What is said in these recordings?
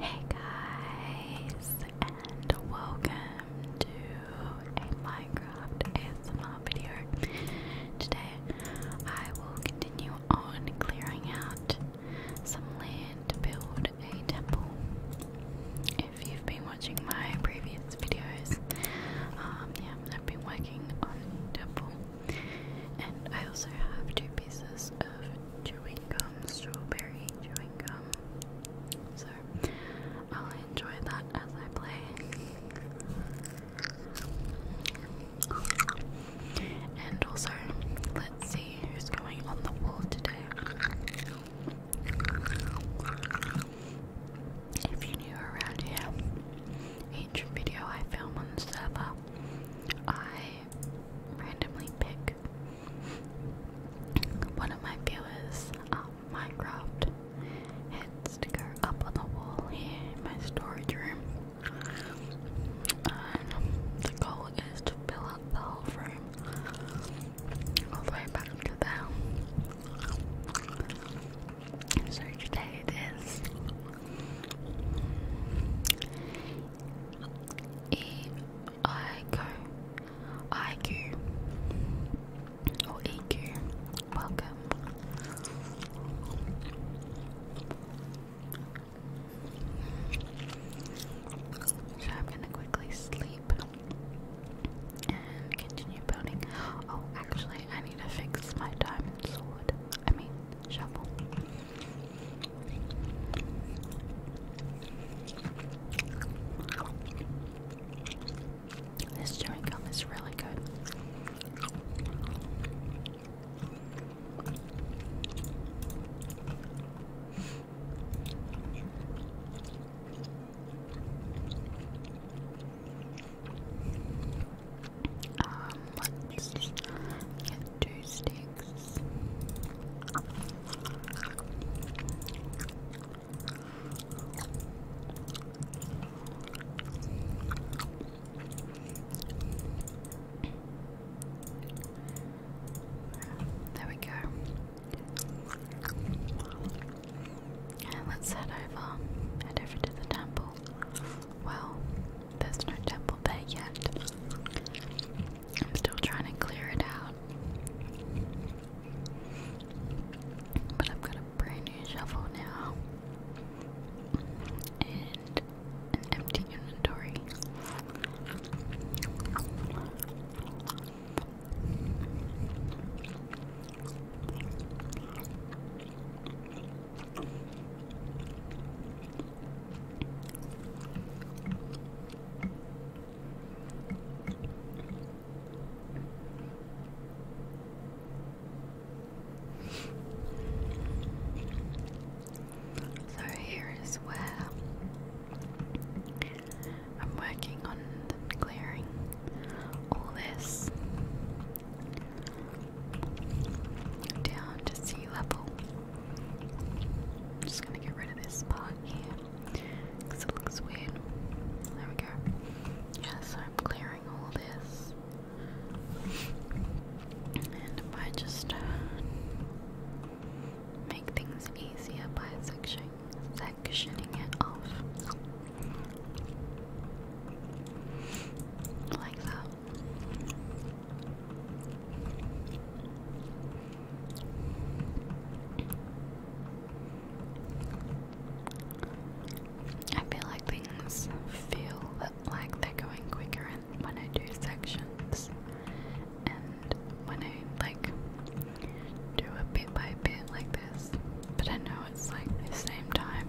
Hey guys, and welcome to a Minecraft ASMR video. Today I will continue on clearing out some land to build a temple. If you've been watching my previous videos, um, yeah, I've been working on temple. And I also have two pieces of chewy strawberry chewing gum. So I'll enjoy that as I play. And also, let's see who's going on the wall today. If you're new around here, each video I film on the server, I randomly pick one of my viewers, um, Minecraft head sticker up on the wall here in my storage room. Um, the goal is to fill up the whole room all the way back to there. So today it is E IQ, IQ, or EQ. Welcome. So I'm gonna quickly sleep and continue building. Oh, actually, I need to fix my diamond sword. I mean, shovel. This chewing gum is really good. Um, two sticks. There we go. And let's head over, head over to the temple. Well, there's no temple there yet. I'm still trying to clear it out. But I've got a brand new shovel now. And an empty inventory. So here is where I'm working on clearing all this down to sea level. I'm just gonna get rid of this part here because it looks weird. There we go. Yeah, I'm clearing all this. And if just uh, make things easier by sectioning, sectioning it off. Like that. I feel like things feel like they're going quicker when I do sections, and when I like do a bit by bit like this, but I know it's like the same time.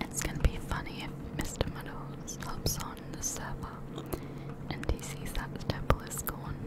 It's gonna be funny if Mr. Meadows hops on the server and he sees that the temple is gone.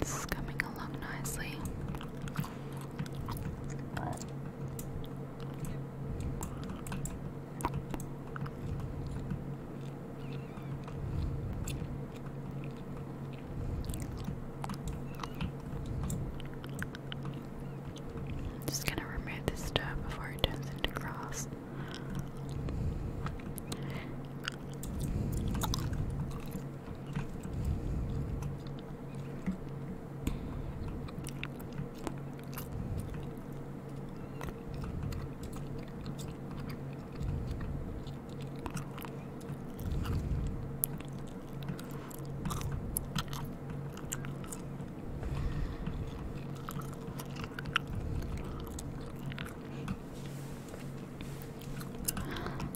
This is coming along nicely. I'm just gonna remove this stuff before it turns into grass.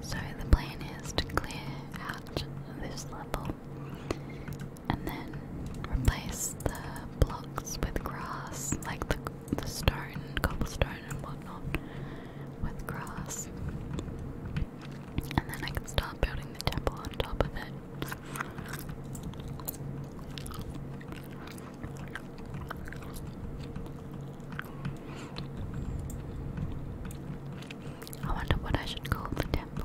So the plan is to clear out this level and then replace the blocks with grass, like the the stone, cobblestone, and whatnot, with grass, and then I can start building the temple on top of it. I wonder what I should call the temple.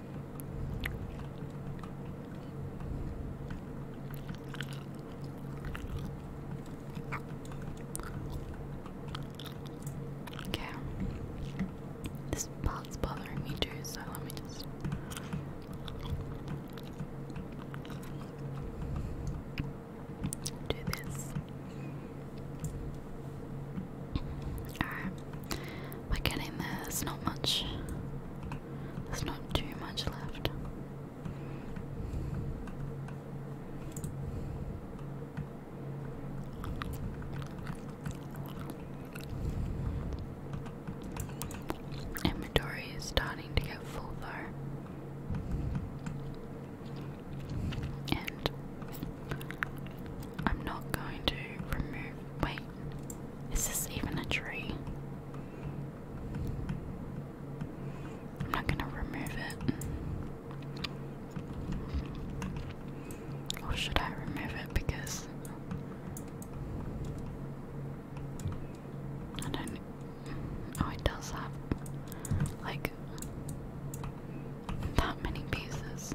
Okay. This part's bothering me too, so let me just. Do this. Alright. We're getting there. There's not much. There's not too much left. Inventory is starting to get full though. And I'm not going to remove. Wait, is this even a tree? I'm not gonna remove it. Or should I remove it because I don't oh it does have like that many pieces.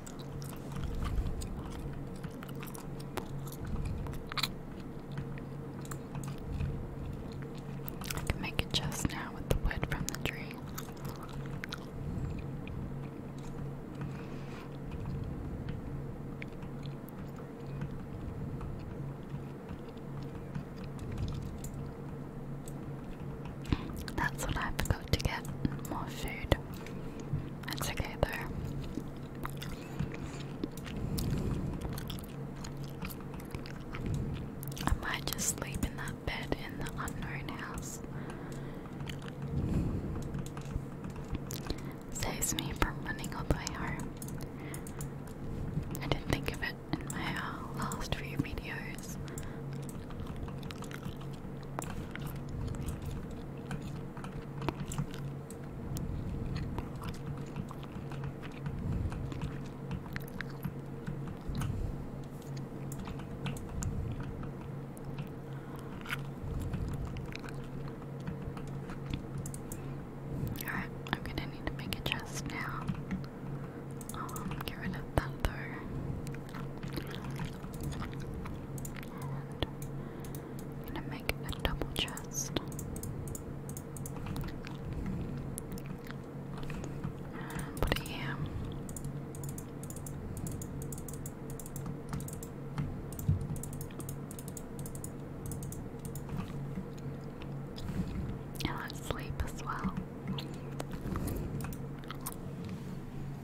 I can make a chest now with the wood from the tree. That's what I have to to get more food weird. That's okay there. I might just sleep in that bed in the unknown house. Saves me from running all the way home. I didn't think of it in my uh, last few videos. Alright, I'm gonna need to make a chest now. Um, get rid of that though. And I'm gonna make a double chest. put it And let sleep as well.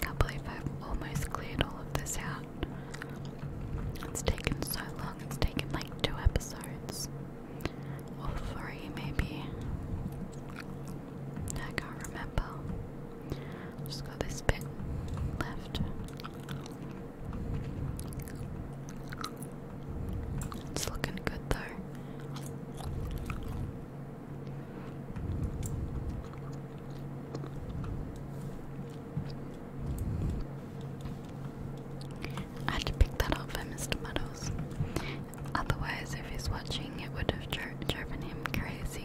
can't believe I've almost cleared all of this out. It's taken so long, it's taken like two episodes. Or three, maybe. I can't remember. Just got this bit left. It's looking good though. I had to pick that up for Mr. Muddles. Otherwise, if he's watching, it would have drove driving him crazy.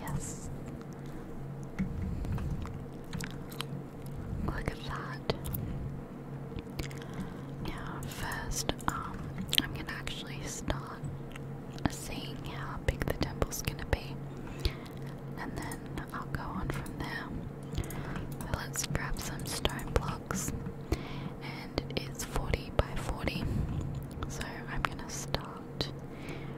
Yes. Look at that. Now, first, um, I'm gonna actually start seeing how big the temple's gonna be, and then I'll go on from there. So let's grab some stone blocks, and it is 40 by 40. So I'm gonna start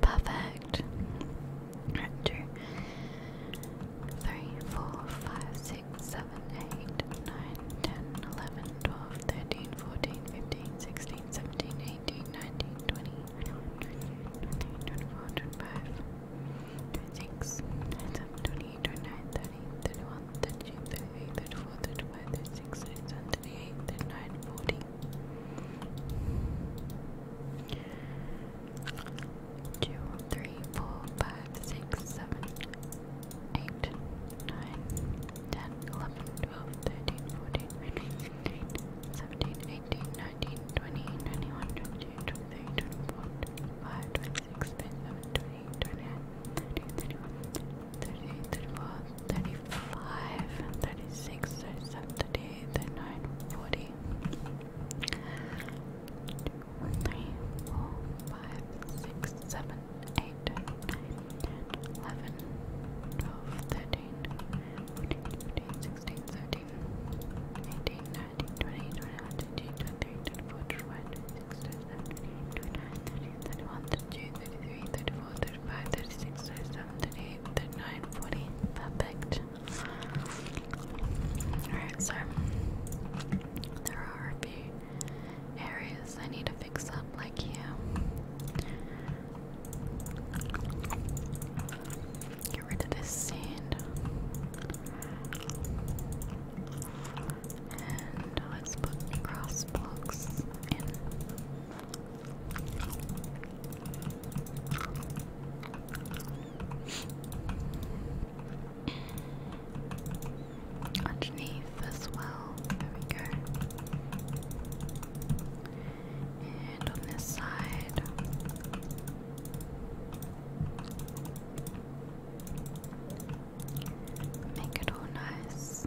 Perfect. Two, three, four, five, six, seven, eight, nine, ten, eleven, twelve, thirteen, fourteen, fifteen, sixteen, seventeen, eighteen, nineteen, twenty, twenty-one, twenty-four, twenty-five, twenty-six, twenty-seven, twenty-eight, twenty-nine, thirty, thirty-one, thirty-two, thirty-three, thirty-four, thirty-five, thirty-six, thirty-seven, thirty-eight, thirty-nine, forty two, three, four, five, six, seven, eight, nine, ten, eleven, twelve, thirteen, fourteen, fifteen, sixteen, seventeen, eighteen, nineteen, twenty, twenty-one, twenty-two, twenty-three, twenty-four, twenty-five, twenty-six, twenty-seven, twenty-eight, twenty-nine, thirty, thirty-one, thirty-eight, thirty-four, thirty-five, thirty-six, thirty-seven, thirty-eight, thirty-nine, forty. 41, 42, 43, 44, 45, 46, 47, 48, 49, 50, 51, 52, 53, 54, 55, 56, 57, 58, 59, 60, 61, 62, 63, 64, 65, 66, 67, 68, 69, 70, 71, 72, 73, 74, 75, 76, 77, 78, one, three, four, five, six, seven, eight, nine, eleven, twelve, thirteen, fourteen, fifteen, sixteen, seventeen, eighteen, nineteen, twenty, twenty-one, twenty-two, twenty-three, twenty-four, twenty-five, twenty-six, twenty-seven, twenty-eight, twenty-nine, thirty, thirty-one, thirty-two, thirty-three, thirty-four, thirty-five, thirty-six, thirty-seven, thirty-eight, thirty-nine, forty. Perfect. Alright, so there are a few areas I need to fix up, like here. Get rid of this sand. And let's cross blocks Underneath as well. There we go. And on this side. Make it all nice.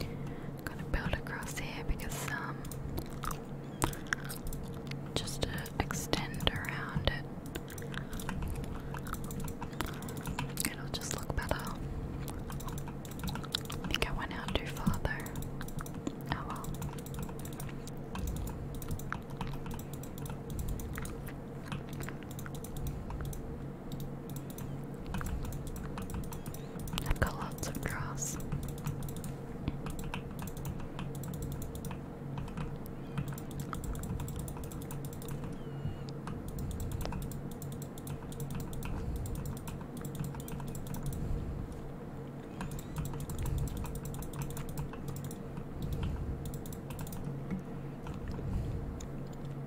I'm gonna build across here because um just to extend around it. It'll just look better. I think I went out too Oh well. I've lots of grass.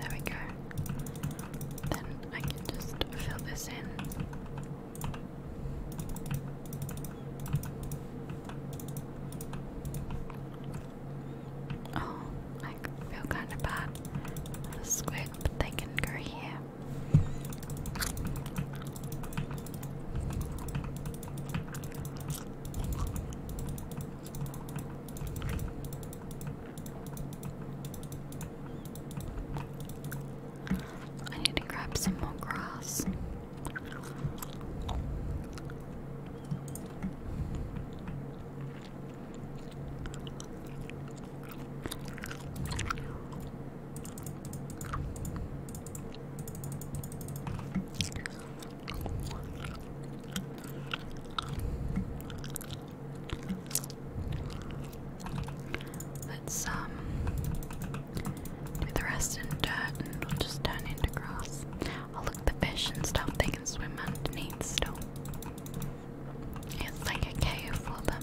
There we go. Then I can just fill this in. Oh, I feel kind of bad the squid, but can go here. I need to grab some more grass. Let's um do the rest in dirt and we'll just turn into grass. I'll look at the fish and stuff, they can swim underneath still. It's like a cave for them.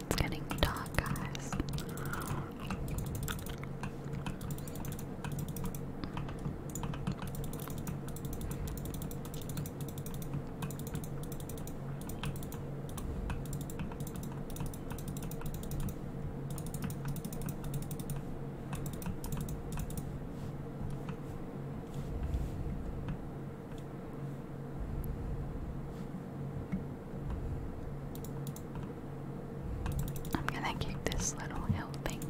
It's getting dark, guys. I'm gonna keep this little helping.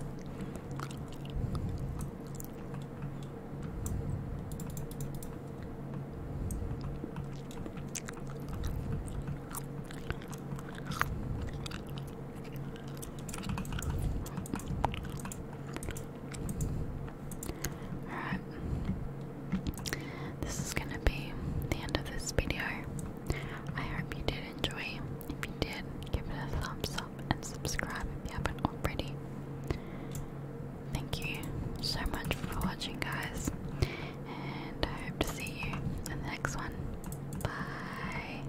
Alright. This is going to be the end of this video. I hope you did enjoy. If you did, give it a thumbs up and subscribe if you haven't already. Thank you so much for watching, guys. And I hope to see you in the next one. Bye.